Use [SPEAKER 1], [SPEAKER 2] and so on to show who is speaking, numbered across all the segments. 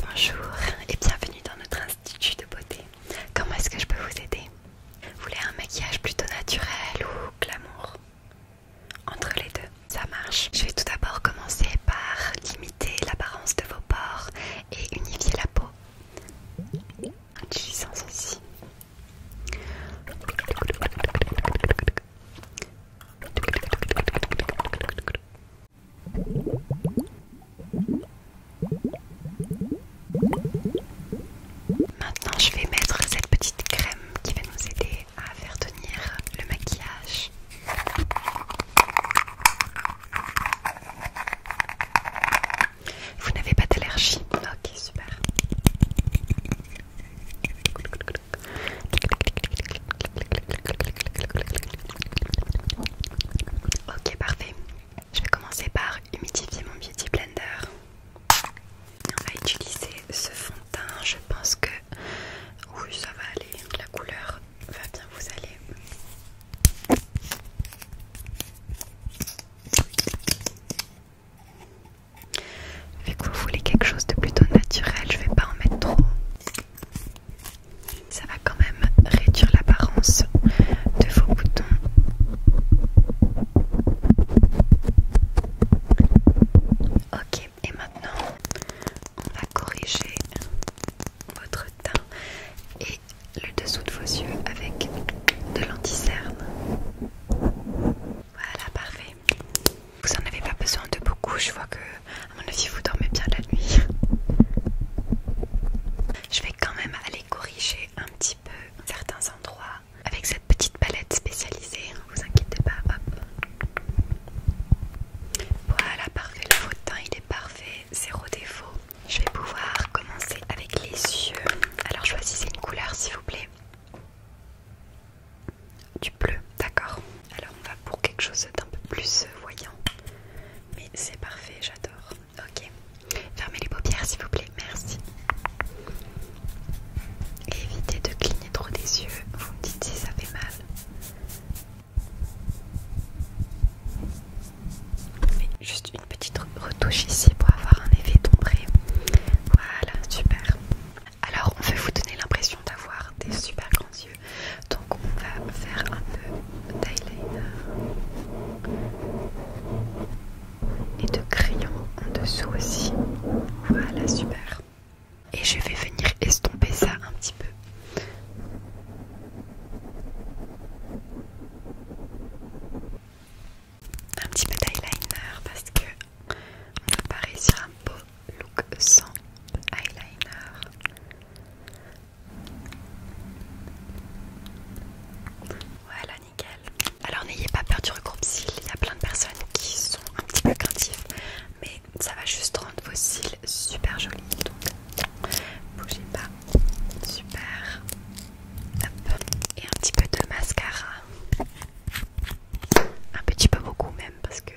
[SPEAKER 1] Bonjour et bienvenue dans notre institut de beauté. Comment est-ce que je peux vous aider Vous voulez un maquillage plutôt naturel ou glamour Entre les deux, ça marche. Je vais tout d'abord commencer par limiter l'apparence de vos pores et unifier la peau. En utilisant ceci. Maintenant je vais mettre cette petite crème qui va nous aider à faire tenir le maquillage. Vous n'avez pas d'allergie Ok super. Ok, parfait. Je vais commencer par humidifier mon Beauty Blender. On va utiliser ce fond de teint. Je pense que oui, ça va aller. La couleur va bien vous aller. Vu que vous voulez quelque chose de plutôt naturel, je vais pas en mettre trop. Ça va quand même réduire l'apparence de vos boutons. Ok, et maintenant on va corriger votre teint et le dessous de vos yeux avec de l'anticerne. Voilà, parfait. Vous en avez pas besoin de beaucoup, je vois que a mon avis vous dormez bien la nuit. Je vais quand même aller corriger un petit peu certains endroits avec cette petite palette spécialisée, vous inquiétez pas, Voilà, parfait, le fauteuil il est parfait, zéro défaut. Je vais pouvoir commencer avec les yeux. Alors choisissez une couleur s'il vous plaît. Du bleu, d'accord. Alors on va pour quelque chose d'un peu plus euh, voyant. Mais c'est parfait, j'adore. Ok. Fermez les paupières s'il vous plaît, merci. Et évitez de cligner trop des yeux. Vous me dites si ça fait mal. juste une petite retouche ici pour avoir un effet tombé. Voilà, super. Alors on fait vous donner l'impression d'avoir des super grands yeux. Donc on va faire un peu d'eyeliner et de crayon en dessous aussi. Voilà, super. Et je vais venir estomper ça un petit peu. Un petit peu d'eyeliner parce que on va pas un beau look sans eyeliner. Voilà, nickel. Alors n'ayez pas peur du regroupe cils, il y a plein de personnes qui sont un petit peu craintives, mais ça va juste rendre vos cils super jolis. Donc bougez pas. Super. Et un petit peu de mascara. Un petit peu beaucoup même parce que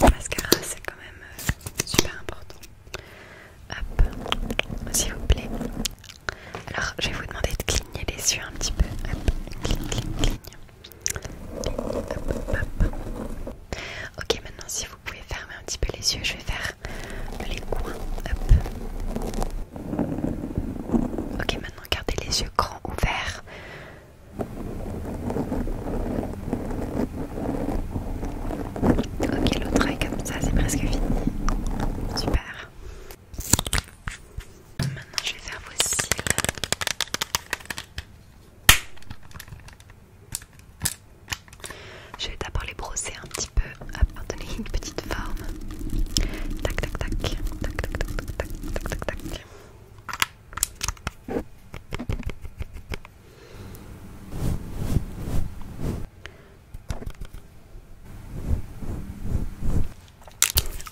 [SPEAKER 1] mascara c'est quand même euh, super important. Hop, s'il vous plaît. Alors je vais vous demander de cligner les yeux un petit peu. Hop, cligne, cligne, cligne. hop, hop. Ok, maintenant si vous pouvez fermer un petit peu les yeux, je vais faire les coins. Hop. Ok, maintenant gardez les yeux grands ouverts. Ok, l'autre œil comme ça, c'est presque fini. Super. Maintenant, je vais faire vos cils. Je vais d'abord les brosser un petit peu Pour donner une petite forme. tac, tac. Tac, tac, tac, tac, tac, tac, tac. tac.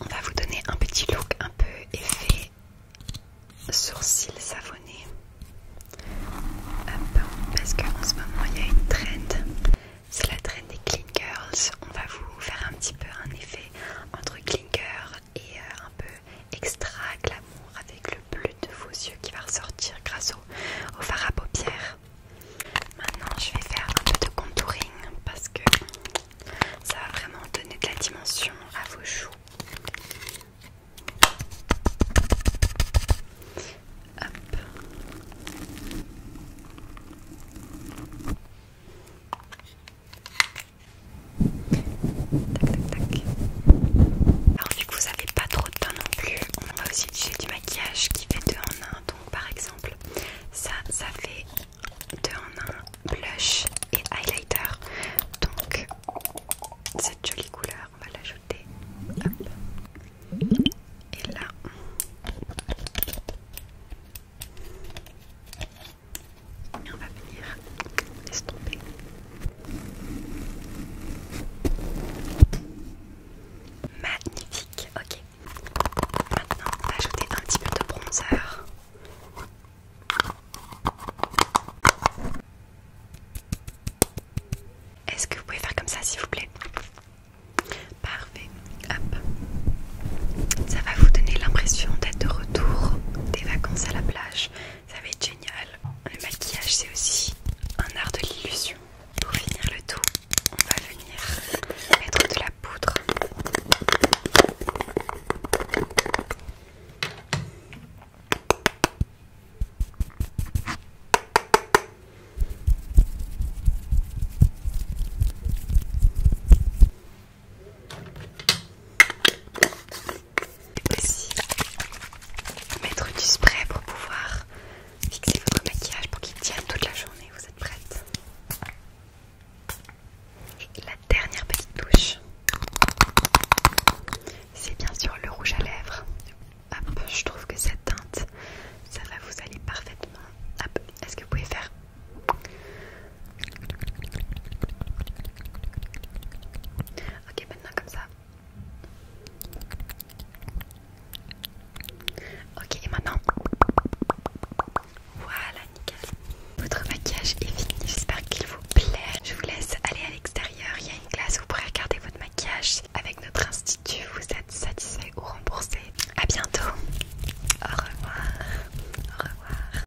[SPEAKER 1] On va vous donner un petit look un peu effet sourcils savonnés. parce qu'en ce moment il y a une trend, c'est la trend des clean girls. On va vous faire un petit peu un effet entre clean et euh, un peu extra glamour avec le bleu de vos yeux qui va ressortir grâce au, au à paupières. Maintenant je vais faire un peu de contouring parce que ça va vraiment donner de la dimension à vos joues. Hop. Alors vu que vous n'avez pas trop de temps non plus, on va aussi utiliser du maquillage qui fait 2 en 1. Donc par exemple, ça, ça fait 2 en 1 blush et highlighter. Donc cette jolie couleur, on va l'ajouter. Et là, et on va venir estomper. Magnifique, ok. Maintenant, on va ajouter un petit peu de bronzer. Est-ce que vous pouvez faire comme ça s'il vous plaît Parfait, hop. Ça va vous donner l'impression d'être de retour des vacances à la plage ça va être génial. Le maquillage, c'est aussi un art de l'illusion. Pour finir le tout, on va venir mettre de la poudre aussi mettre du spray pour pouvoir fixer votre maquillage pour qu'il tienne toute la journée. Vous êtes prête Et la dernière petite touche, c'est bien sûr le rouge à lèvres. Hop, je trouve que cette teinte, ça va vous aller parfaitement. est-ce que vous pouvez faire Ok, maintenant comme ça. Ok, et maintenant. Voilà, nickel. Votre maquillage est fini, j'espère qu'il vous plaît. Je vous laisse aller à l'extérieur, il y a une où vous pourrez regarder votre maquillage. Avec notre institut, vous êtes satisfait ou remboursé. A bientôt. Au revoir. Au revoir.